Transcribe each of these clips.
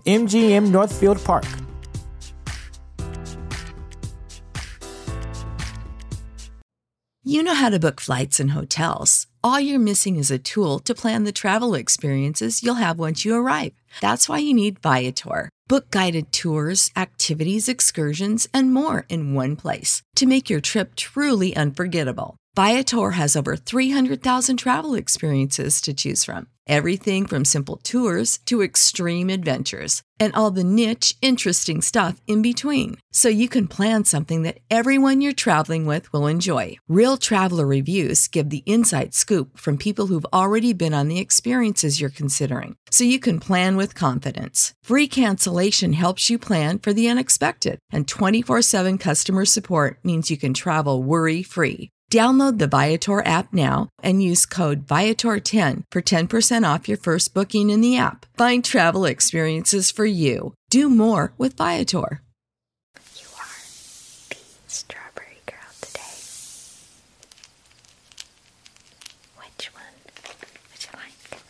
MGM Northfield Park. You know how to book flights and hotels. All you're missing is a tool to plan the travel experiences you'll have once you arrive. That's why you need Viator. Book guided tours, activities, excursions, and more in one place to make your trip truly unforgettable. Viator has over 300,000 travel experiences to choose from. Everything from simple tours to extreme adventures and all the niche, interesting stuff in between. So you can plan something that everyone you're traveling with will enjoy. Real traveler reviews give the inside scoop from people who've already been on the experiences you're considering. So you can plan with confidence. Free cancellation helps you plan for the unexpected, and 24 7 customer support means you can travel worry free. Download the Viator app now and use code Viator10 for 10% off your first booking in the app. Find travel experiences for you. Do more with Viator. You are the strawberry girl today. Which one would you like?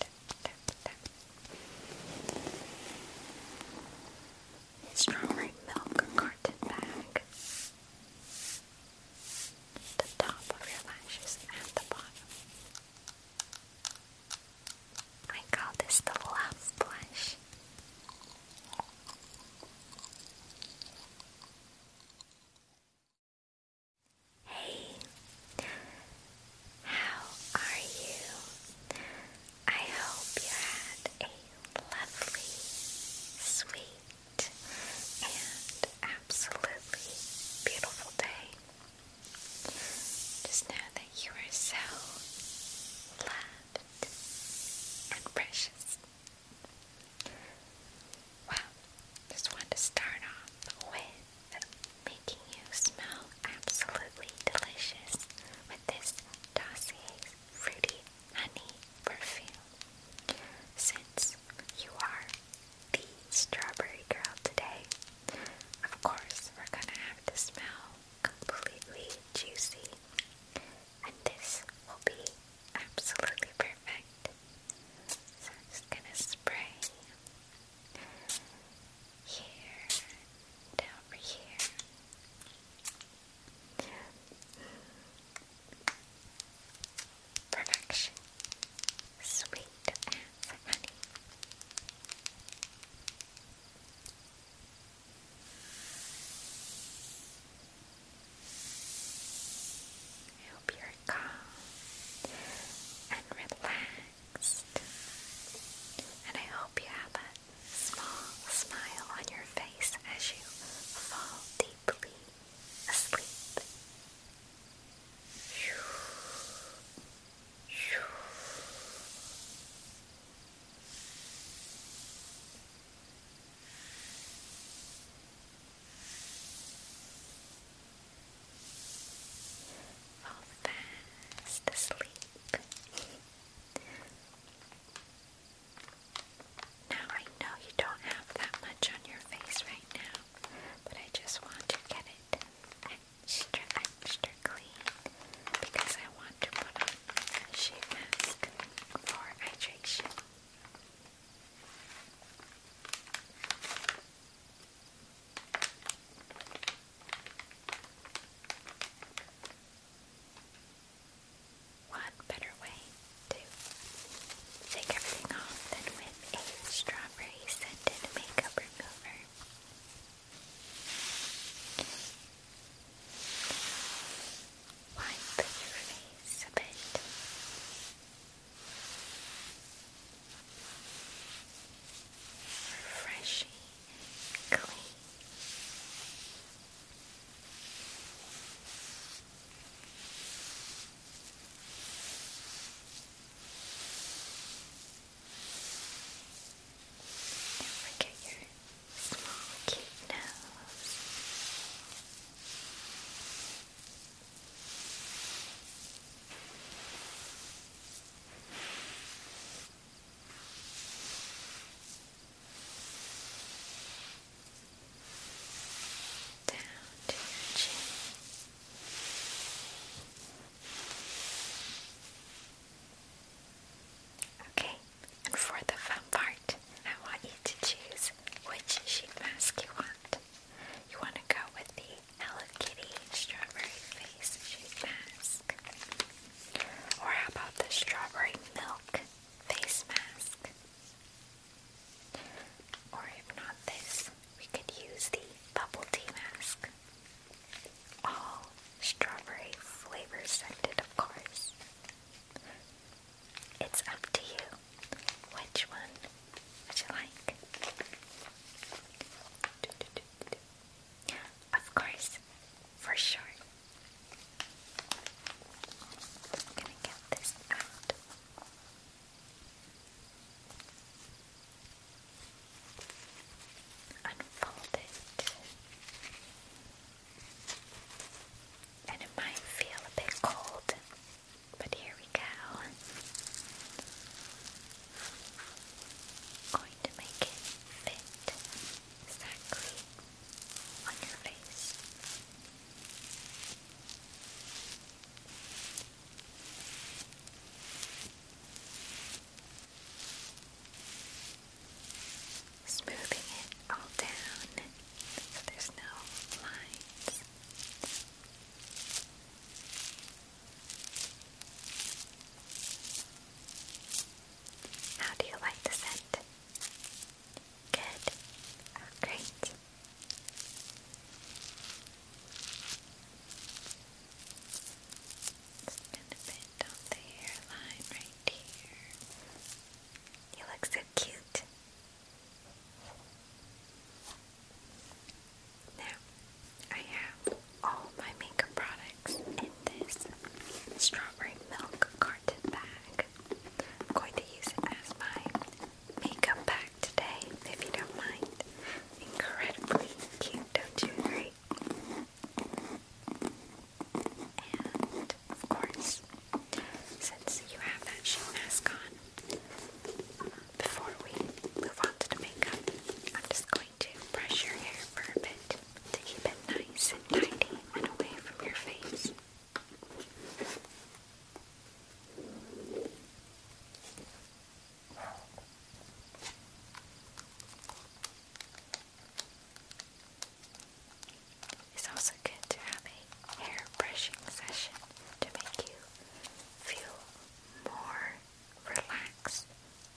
tap, tap, tap, tap. Strawberry milk carton bag. The top of your lashes and the bottom. I call this the love blush. Hey, how are you? I hope you had a lovely, sweet, and absolutely beautiful day. Just know that you are so loved and precious. Well, just want to start off with making you smell absolutely delicious with this Dossier's Fruity Honey Perfume. Since you are the strawberry girl today, of course we're gonna have to smell completely juicy. And this will be absolutely perfect. So I'm just gonna spray here, down here. Perfection. Sweet as honey. I hope you're calm and relaxed relaxed. And I hope you have a small smile on your face as you fall deeply asleep. Fall fast asleep. Now I know you don't have that much on your face right now, but I just want to get it extra, extra clean because I want to put on a sheet mask for hydration. One better way to take everything off than with a strawberry scented makeup remover. Wipe your face a bit refreshing, clean. Don't your small, cute nose. Down to your chin. Okay, and for the fun part, I want you to choose which sheet mask you want. You want to go with the Hello Kitty strawberry face mask. Or how about the strawberry milk face mask? Or if not this, we could use the bubble tea mask. All strawberry flavor scented, of course. It's up to you which one would you like? Of course, for sure. I'm gonna get this out. Unfold it. And it might feel a bit cold, but here we go going to make it fit exactly on your face. Smoothing it all down so there's no lines. How do you like the scent? Good. Oh, great. Just gonna bend on the hairline right here. You look so cute. Now, I have all my makeup products in this strawberry milk carton bag. I'm going to use it as my makeup bag today, if you don't mind. Incredibly cute, don't you agree? And, of course, since you have that sheet mask on, before we move on to makeup, I'm just going to brush your hair for a bit to keep it nice and tidy and away from your face. It's also good to have a hair brushing session to make you feel more relax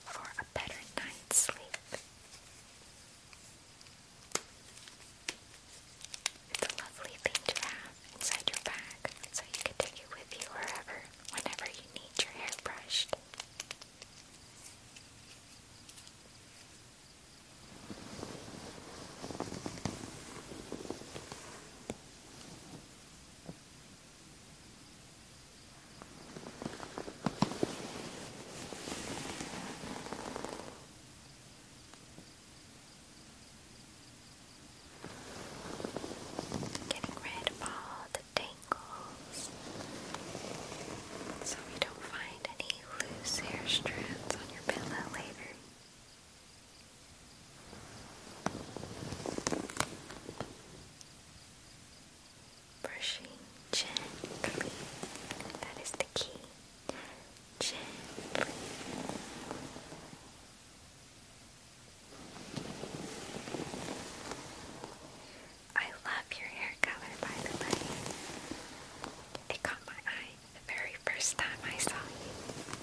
for a better night's sleep. It's a lovely thing to have inside your bag, so you can take it with you wherever, whenever you need your hair brushed. Getting rid of all the tangles so we don't find any loose hair strands on your pillow later. Brushing gently. That is the key. Gently. I love your hair color, by the way. It caught my eye the very first time I saw you.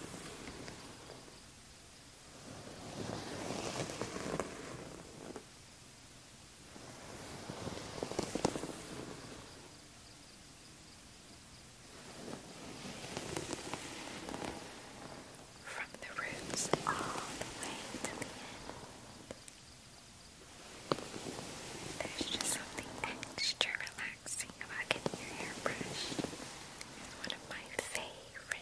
From the roots all the way to the end. There's just something extra relaxing about getting your hair brushed. It's one of my favorite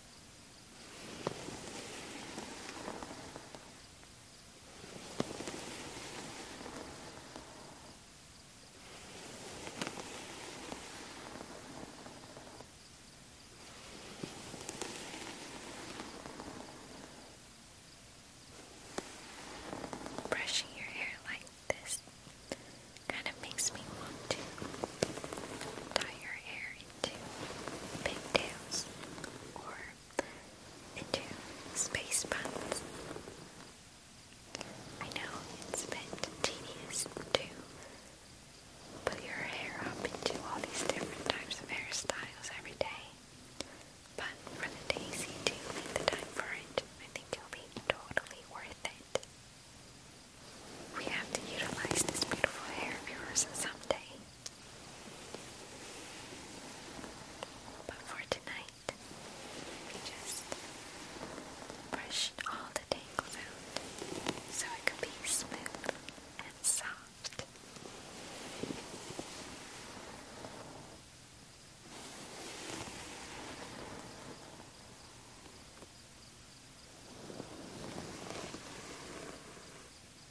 Brushing your hair like this kind of makes me want to dye your hair into pigtails or into space buns. I know it's a bit tedious to put your hair up into all these different types of hairstyles every day, but for the days you make the time for it, I think it'll be totally worth it. We have to utilize this beautiful hair of yours someday. But for tonight, we just brushed all the tangles out so it could be smooth and soft.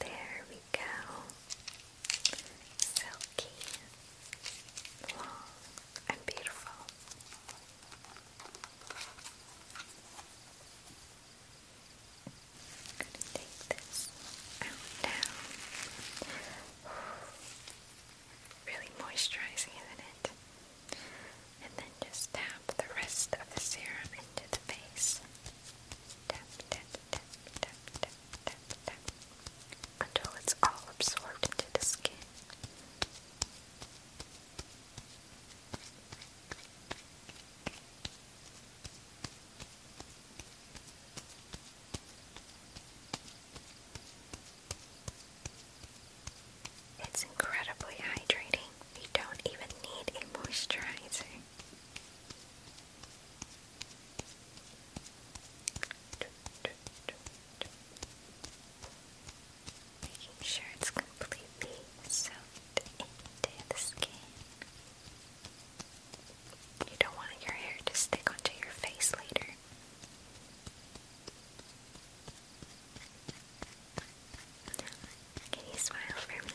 There we go. Silky, long, and beautiful. I'm going to take this out now. Really moisturizing, isn't it? And then just tap the rest of the serum into the face. Tap, tap, tap, tap, tap, tap, tap, until it's all absorbed into the skin. It's incredibly hydrating. You don't even need a moisturizer. Making sure it's completely soaked into the skin. You don't want your hair to stick onto your face later. Can you smile for me?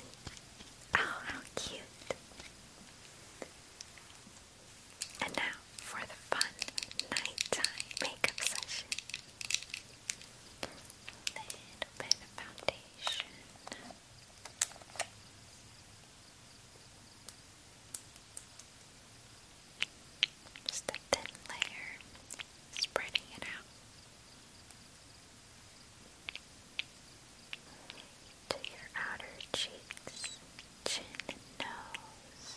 Oh, how cute! And now for the fun nighttime makeup session. Little bit of foundation. Just a thin layer, spreading it out to your outer cheeks, chin, nose.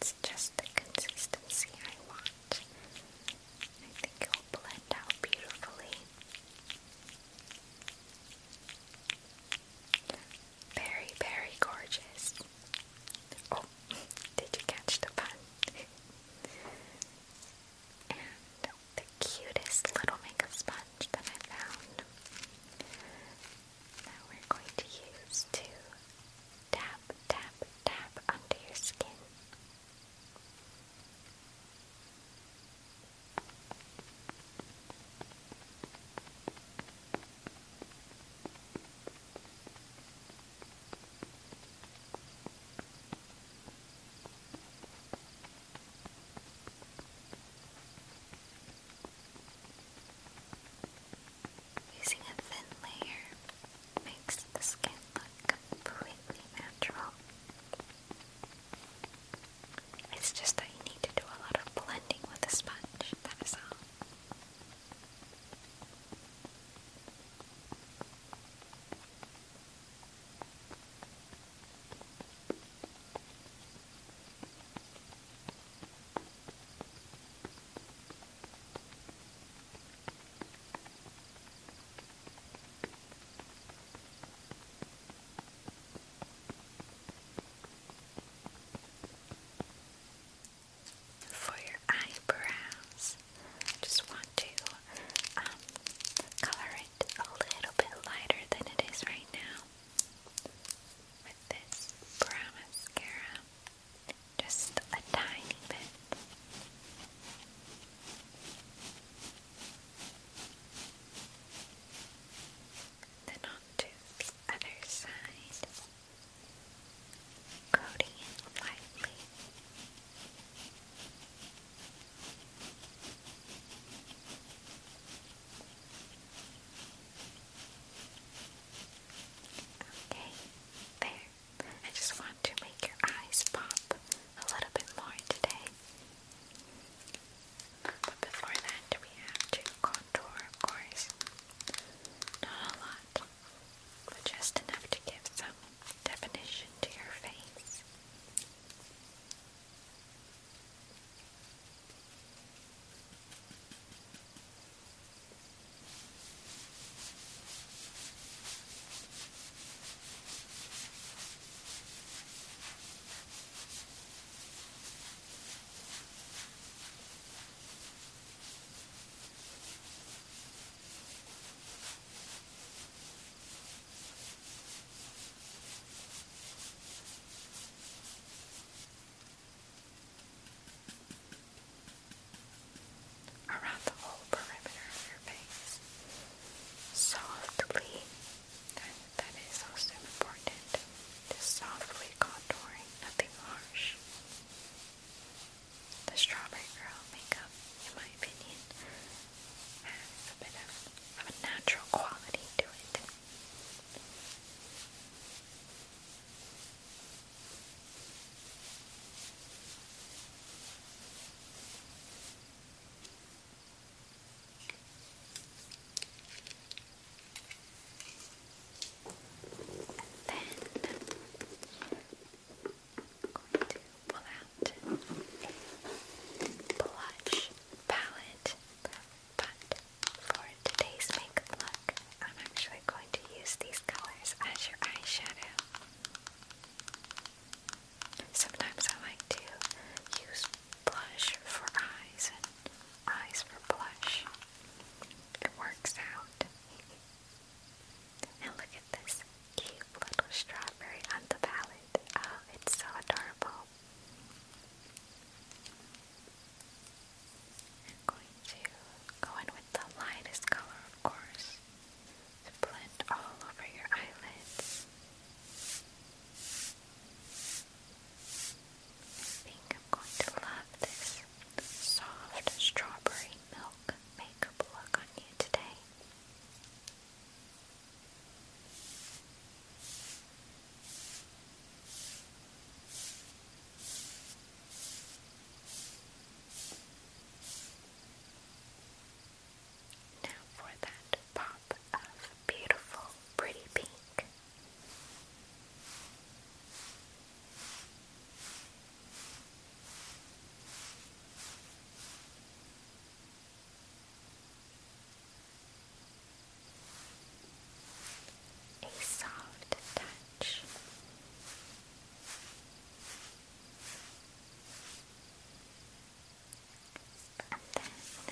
It's just the consistency I want. I think it will blend out beautifully. Very, very gorgeous. Oh, did you catch the pun? and the cutest little makeup sponge that I found that we're going to use to tap, tap, tap onto your skin. Using a thin layer makes the skin look completely natural. It's just that you need to do a lot of blending with a sponge, that is all. For your eyebrows, just one to um, color it a little bit lighter than it is right now with this brown mascara, just a tiny bit. Then on to the other side, coating lightly. Okay, there. I just want to make your eyes pop a little bit more today. But before that, we have to contour, of course. Not a lot, but just enough to give some definition to your face around the whole perimeter of your face softly. That, that is also important. Just softly contouring, nothing harsh. The Strawberry Girl makeup, in my opinion, has a bit of, a natural quality to it. then I'm going to pull out blush palette, but for today's makeup look, I'm actually going to use these colors as your eyeshadow. Sometimes I like to use blush for eyes eyes for blush. It works out. Now look at this cute little strawberry on the palette. Oh, it's so adorable. I'm going to go in with the lightest color, of course, to blend all over your eyelids. I think I'm going to love this soft strawberry milk makeup look on you today. Now for that pop of beautiful, pretty pink a soft touch. And this, we're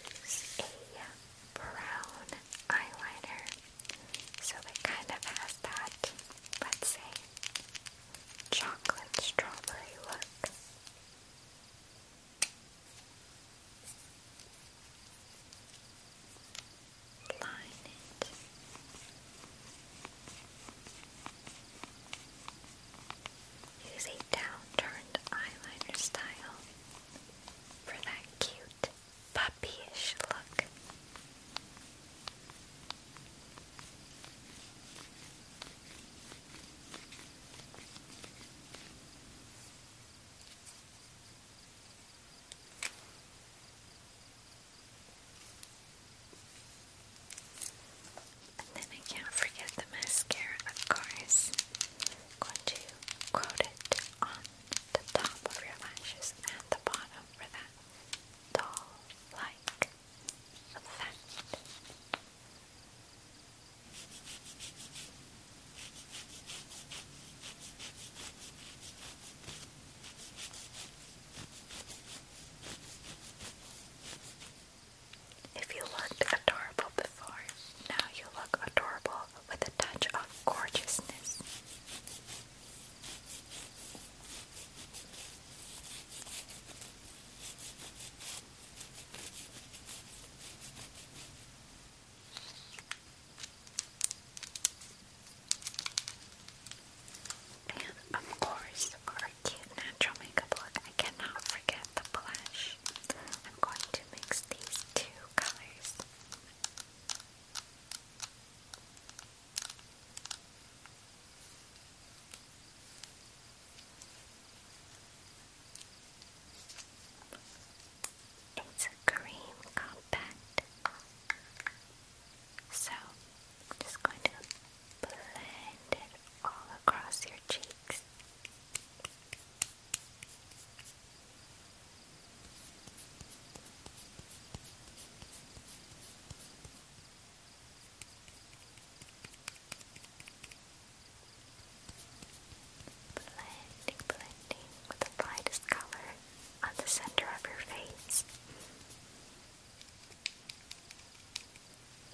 going to use a brown eyeliner. So it kind of has that, let's say, chocolate strawberry look. Line it. Use a downturned eyeliner style for that cute puppyish look. And then I can't forget the mascara, of course. going to coat it on the top of your lashes and the bottom for that doll like effect. If you looked adorable before, now you look adorable with a touch of gorgeousness of course, our cute natural makeup look. I cannot forget the blush. I'm going to mix these two colors. It's a cream compact. So I'm just going to blend it all across your cheeks. Blending, blending with the brightest color on the center of your face.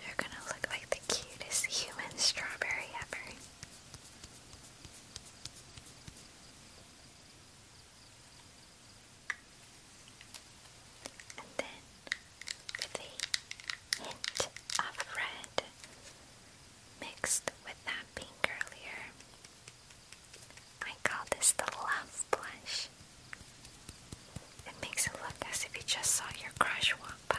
You're gonna look like the cutest human strawberry ever. And then, with the hint of red mixed with that pink earlier, I call this the love blush. It makes it look as if you just saw your crush walk by.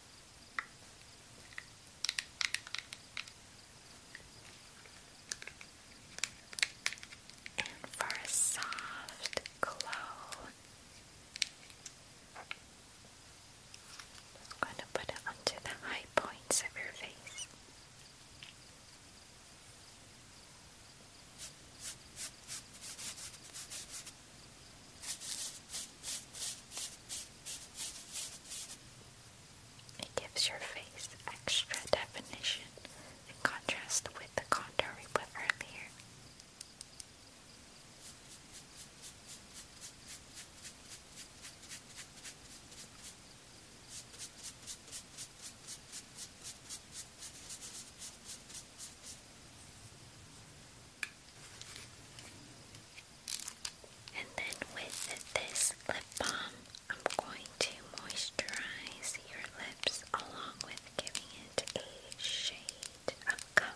for a soft glow, I'm going to put it onto the high points of your face. It gives your face extra definition in contrast with the contour we put earlier. And then with this lip balm, I'm going to moisturize your lips along with giving it a shade of color.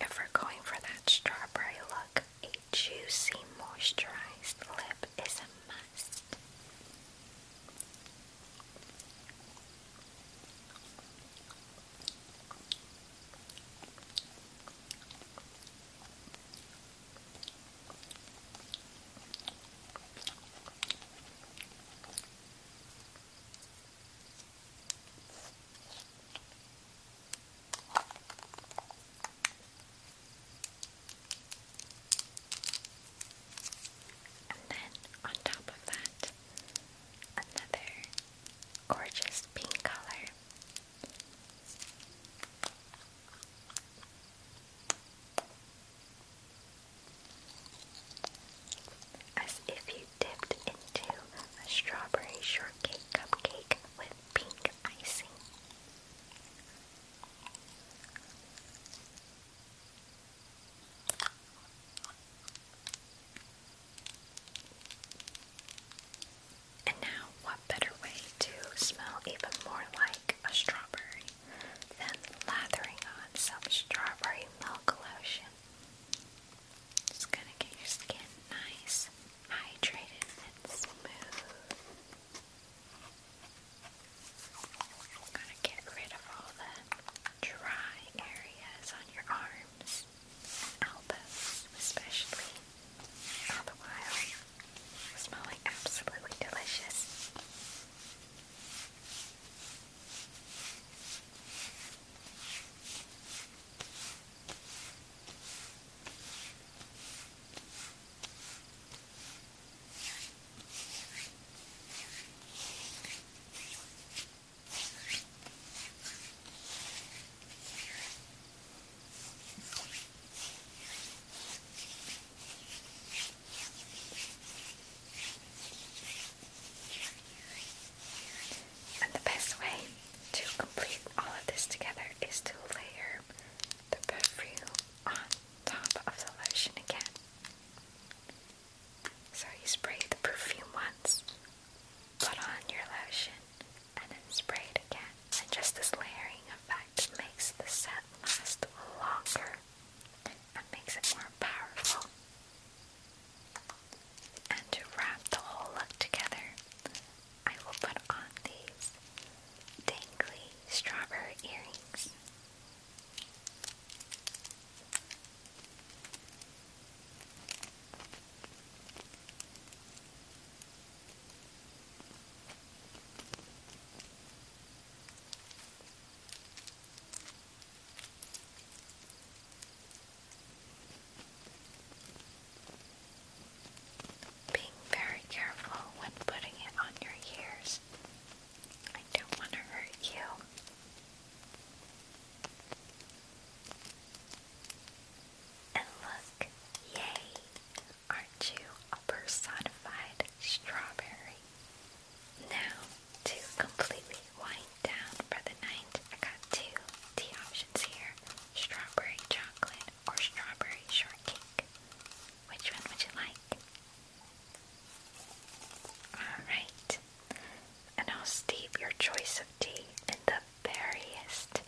If we're going for that strawberry look, a juicy moisturized lip is a must. And then on top of that, another gorgeous pink color. As if you dipped into a strawberry shortcake cupcake with pink icing. And now, what better way to smell even more like a strawberry than lathering on some strawberry milk lotion? It's gonna get your skin nice, hydrated, and smooth. gonna get rid of all the dry areas on your arms elbows, especially. All smelling absolutely delicious. And the best way to complete all of this together is to layer the perfume on top of the lotion again. So you spray the perfume once, put on your lotion, and then spray it again. And just this layering effect makes the scent last longer and makes it more powerful. And to wrap the whole look together, I will put on these dainty strawberry earrings. Being very careful when putting it on your ears. I don't want to hurt you. And look, yay! Aren't you a personified strawberry? Now, to completely wind down for the night, I got two tea options here strawberry chocolate or strawberry shortcake. Which one would you like? Alright, and I'll steep your choice of tea in the veriest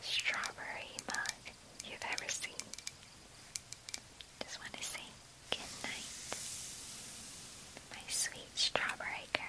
strawberry mug you've ever seen. Just want to say good night, my sweet strawberry girl.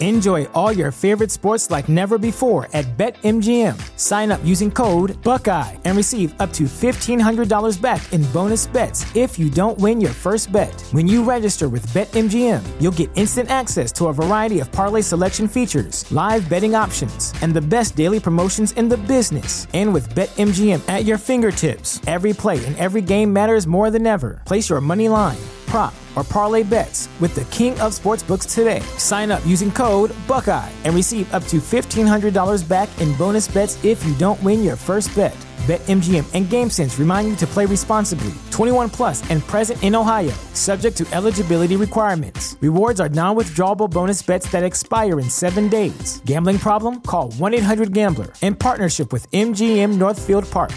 Enjoy all your favorite sports like never before at BetMGM. Sign up using code Buckeye and receive up to $1,500 back in bonus bets if you don't win your first bet. When you register with BetMGM, you'll get instant access to a variety of parlay selection features, live betting options, and the best daily promotions in the business. And with BetMGM at your fingertips, every play and every game matters more than ever. Place your money line prop or parlay bets with the king of sportsbooks today. Sign up using code Buckeye and receive up to $1,500 back in bonus bets if you don't win your first bet. BetMGM and GameSense remind you to play responsibly. 21 plus and present in Ohio, subject to eligibility requirements. Rewards are non-withdrawable bonus bets that expire in seven days. Gambling problem? Call 1-800-GAMBLER in partnership with MGM Northfield Park.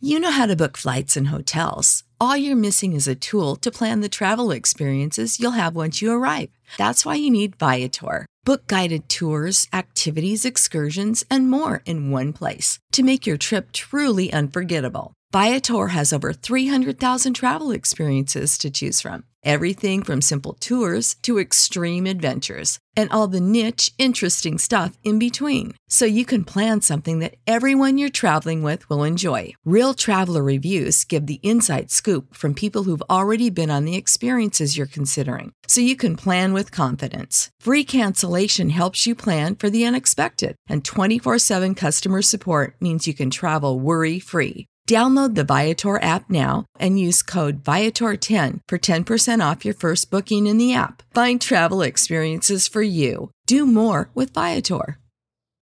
You know how to book flights and hotels all you're missing is a tool to plan the travel experiences you'll have once you arrive. That's why you need Viator. Book guided tours, activities, excursions, and more in one place to make your trip truly unforgettable. Viator has over 300,000 travel experiences to choose from. Everything from simple tours to extreme adventures and all the niche, interesting stuff in between. So you can plan something that everyone you're traveling with will enjoy. Real traveler reviews give the inside scoop from people who've already been on the experiences you're considering, so you can plan with confidence. Free cancellation helps you plan for the unexpected, and 24 7 customer support means you can travel worry free. Download the Viator app now and use code Viator10 for 10% off your first booking in the app. Find travel experiences for you. Do more with Viator.